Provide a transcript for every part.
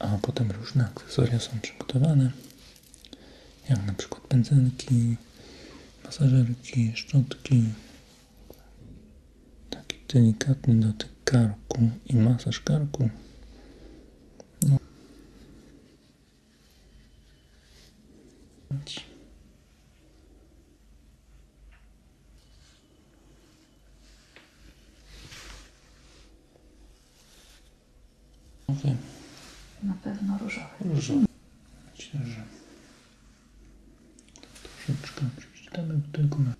A potem różne akcesoria są przygotowane, jak na przykład pędzelki, masażerki, szczotki. Taki delikatny dotyk karku i masaż karku. No. Okay. Na pewno różowy. Różowy. Myślę, że troszeczkę przeczytamy tylko no. na...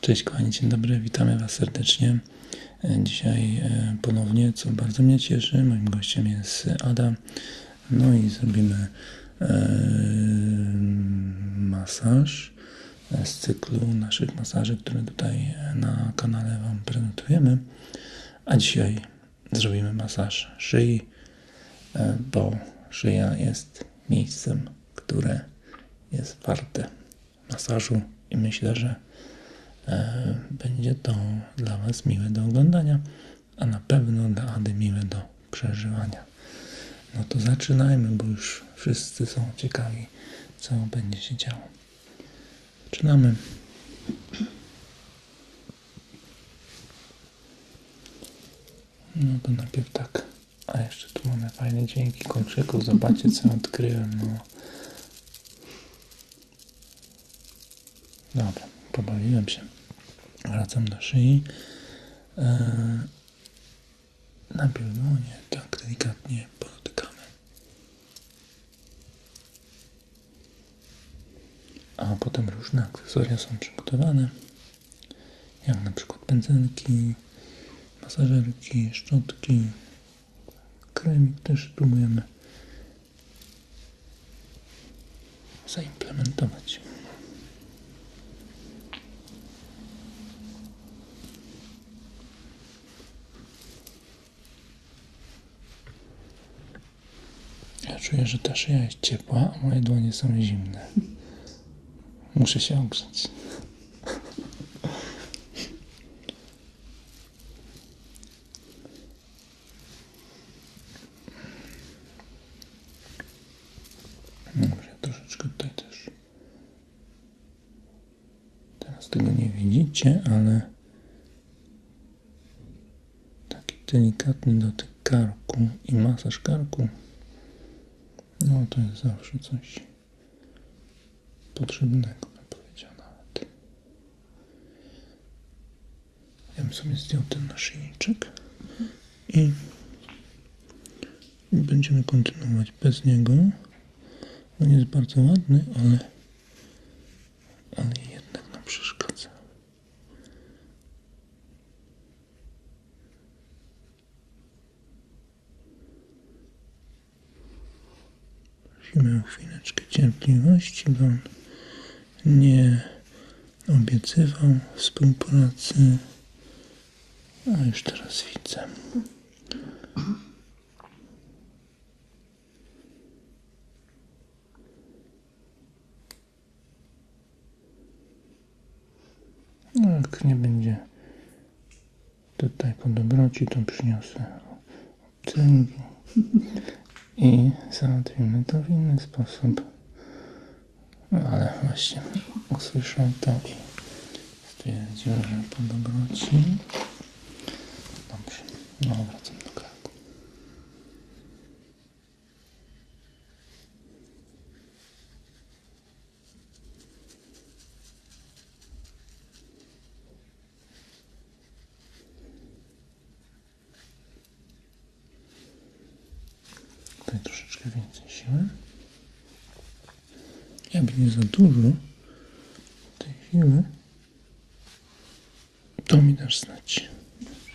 Cześć kochani, dzień dobry, witamy Was serdecznie. E, dzisiaj e, ponownie, co bardzo mnie cieszy, moim gościem jest Ada. No i zrobimy e, masaż z cyklu naszych masaży, które tutaj na kanale Wam prezentujemy. A dzisiaj zrobimy masaż szyi, e, bo szyja jest miejscem, które jest warte masażu i myślę, że e, będzie to dla Was miłe do oglądania, a na pewno dla Ady miłe do przeżywania. No to zaczynajmy, bo już wszyscy są ciekawi, co będzie się działo. Zaczynamy. No to najpierw tak. A jeszcze tu mamy fajne dźwięki kolczyków. Zobaczcie co odkryłem. No. Dobra, pobawiłem się. Wracam do szyi. Eee, najpierw dłonie, tak delikatnie podotykamy. A potem różne akcesoria są przygotowane, jak na przykład pędzelki, masażerki, szczotki, kremik też próbujemy zaimplementować. Ja czuję, że ta szyja jest ciepła, a moje dłonie są zimne. Muszę się ogrzać. Dobrze, troszeczkę tutaj też. Teraz tego nie widzicie, ale Taki delikatny dotyk karku i masaż karku. No to jest zawsze coś potrzebnego, bym powiedział nawet. Ja bym sobie zdjął ten naszyjniczek i będziemy kontynuować bez niego. On jest bardzo ładny, ale ale jednak nam przeszkadza. Prosimy o chwileczkę cierpliwości, bo on nie obiecywał współpracy, a już teraz widzę. No, jak nie będzie tutaj po dobroci, to przyniosę obcynki i załatwimy to w inny sposób. No, ale właśnie usłyszał to i stwierdził, że po dobroci. Dobrze, no wracam do kraku. Tutaj troszeczkę więcej siły. Jakby nie za dużo tej to mi dasz znać. Dobrze.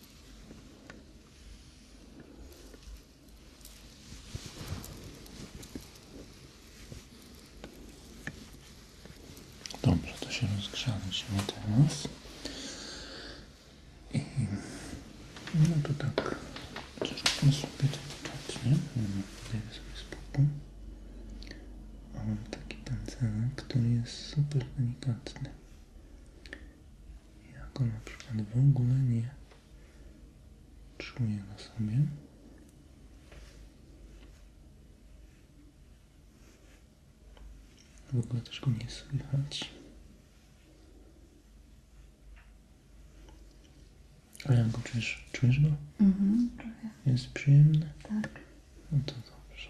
Dobrze, to się rozgrzaliśmy teraz. I no to tak, troszkę sobie to czat, nie? Daję sobie spokój. A mam taki pędzelek, który jest super delikatny. Jak ona na przykład w ogóle nie czuję na sobie. W ogóle też go nie słychać. Ale jak go czujesz? Czujesz go? Mhm, Jest przyjemne. Tak. No to dobrze.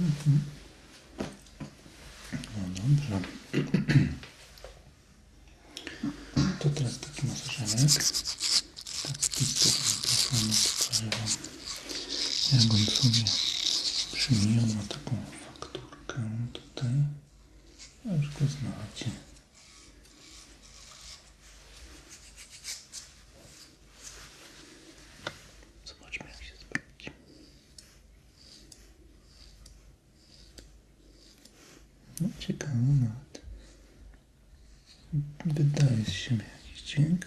No mhm. dobrze. To teraz taki masażerek. Taki tu mikrofonu tutaj wam. sobie przymienił na taką fakturkę tutaj. A go znacie. Zobaczmy jak się sprawdzi. No, ciekawe nawet. Wydaje z jakiś dźwięk.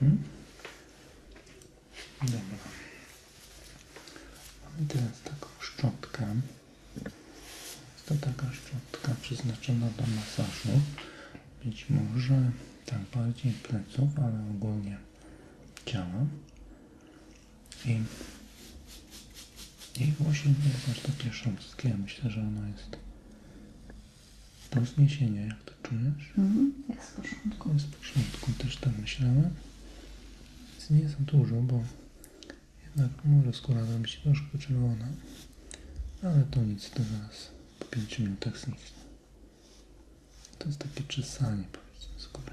Hmm? Dobra. Mamy teraz taką szczotkę. Jest to taka szczotka przeznaczona do masażu. Być może tam bardziej pleców, ale ogólnie ciała. I, i właśnie jest aż takie szumskie. Myślę, że ono jest do zniesienia, jak to czujesz? Mhm, jest w porządku. Jest w porządku, też tam myślałem. Więc nie za dużo, bo jednak może skóra być troszkę czerwona. Ale to nic, to zaraz po 5 minutach zniknie. To jest takie czesanie, powiedzmy, skóry.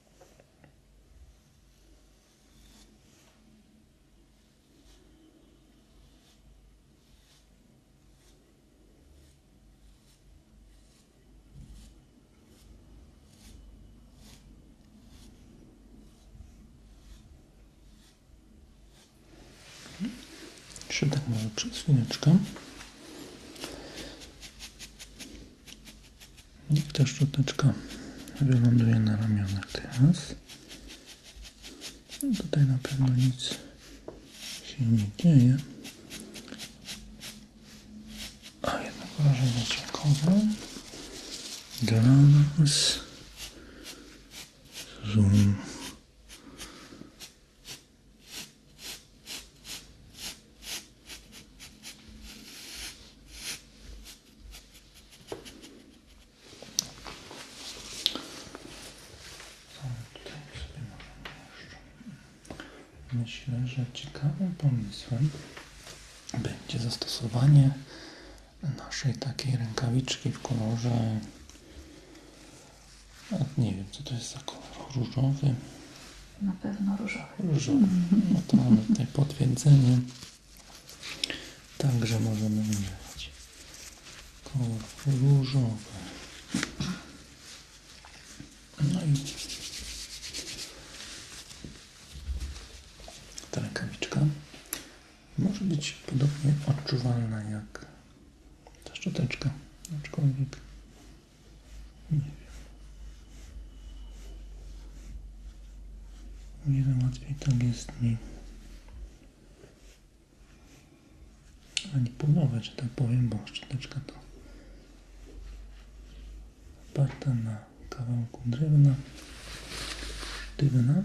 Jeszcze tak może przez chwileczkę. I ta szczoteczka wyląduje na ramionach teraz. No tutaj na pewno nic się nie dzieje. A jednak wrażenie ciekawe dla nas. Zoom. Tutaj sobie możemy jeszcze. Myślę, że ciekawym pomysłem będzie zastosowanie naszej takiej rękawiczki w kolorze nie wiem co to jest za kolor różowy na pewno różowy. Różowy. No to mamy tutaj potwierdzenie. Także możemy wybrać kolor różowy. No i ta rękawiczka może być podobnie odczuwalna jak ta szczoteczka, aczkolwiek nie wiem, łatwiej tak jest mi manipulować, że tak powiem, bo szczoteczka to oparta na kawałku drewna sztywna.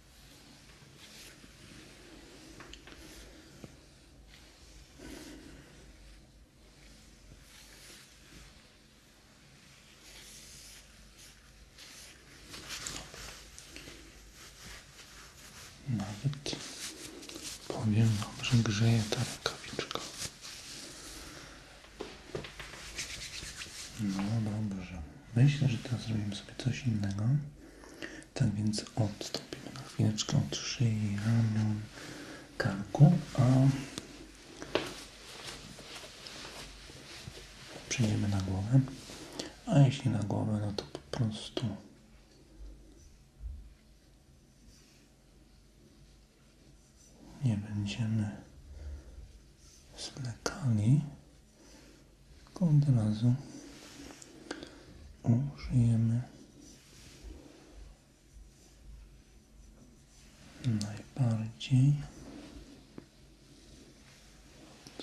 Nawet powiem że grzeje ta rękawiczka. No dobrze. Myślę, że teraz zrobimy sobie coś innego. Tak więc odstąpimy na chwileczkę od szyi, ramion, karku, a przejdziemy na głowę. A jeśli na głowę, no to po prostu nie będziemy zwlekali. Tylko od razu użyjemy najbardziej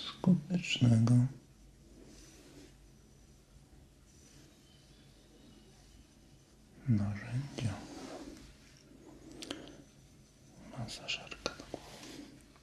skutecznego narzędzia masażerka do głowy.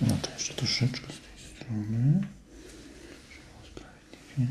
No to jeszcze troszeczkę z tej strony, żeby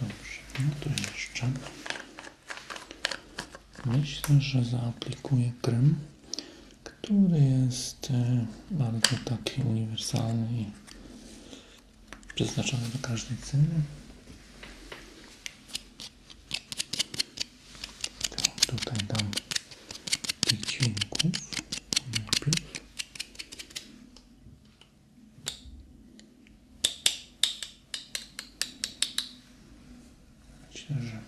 Dobrze, no to jeszcze Myślę, że zaaplikuję prym, który jest e, bardzo taki uniwersalny i przeznaczony na każdej ceny. To tak, tutaj dam tych dźwięków Myślę, że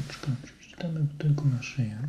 troszeczkę przeczytamy tylko na szyję.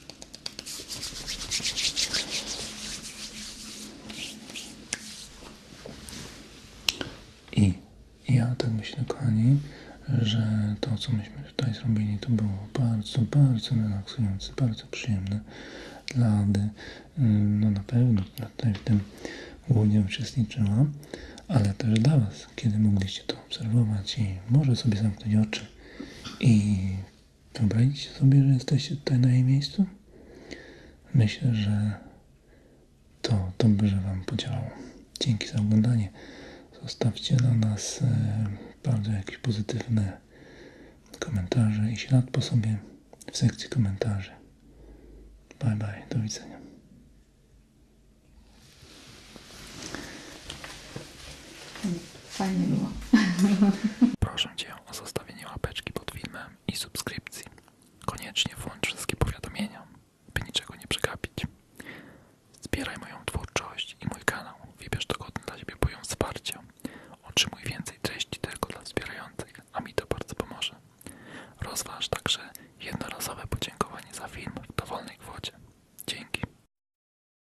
I ja tak myślę, kochani, że to, co myśmy tutaj zrobili, to było bardzo, bardzo relaksujące, bardzo przyjemne dla Ady. Mm, no na pewno, która tutaj w tym głównie uczestniczyła, ale też dla Was, kiedy mogliście to obserwować i może sobie zamknąć oczy i Wyobraźcie sobie, że jesteście tutaj na jej miejscu? Myślę, że to dobrze Wam podziałało. Dzięki za oglądanie. Zostawcie dla nas e, bardzo jakieś pozytywne komentarze i ślad po sobie w sekcji komentarzy. Bye bye, do widzenia. Hmm. Fajnie było. Proszę Cię o zostawienie łapeczki pod filmem i subskrypcji. Koniecznie włącz wszystkie powiadomienia, by niczego nie przegapić. Zbieraj moją twórczość i mój kanał. Wybierz dogodny dla Ciebie poziom wsparcia. Otrzymuj więcej treści tylko dla wspierających, a mi to bardzo pomoże. Rozważ także jednorazowe podziękowanie za film w dowolnej kwocie. Dzięki.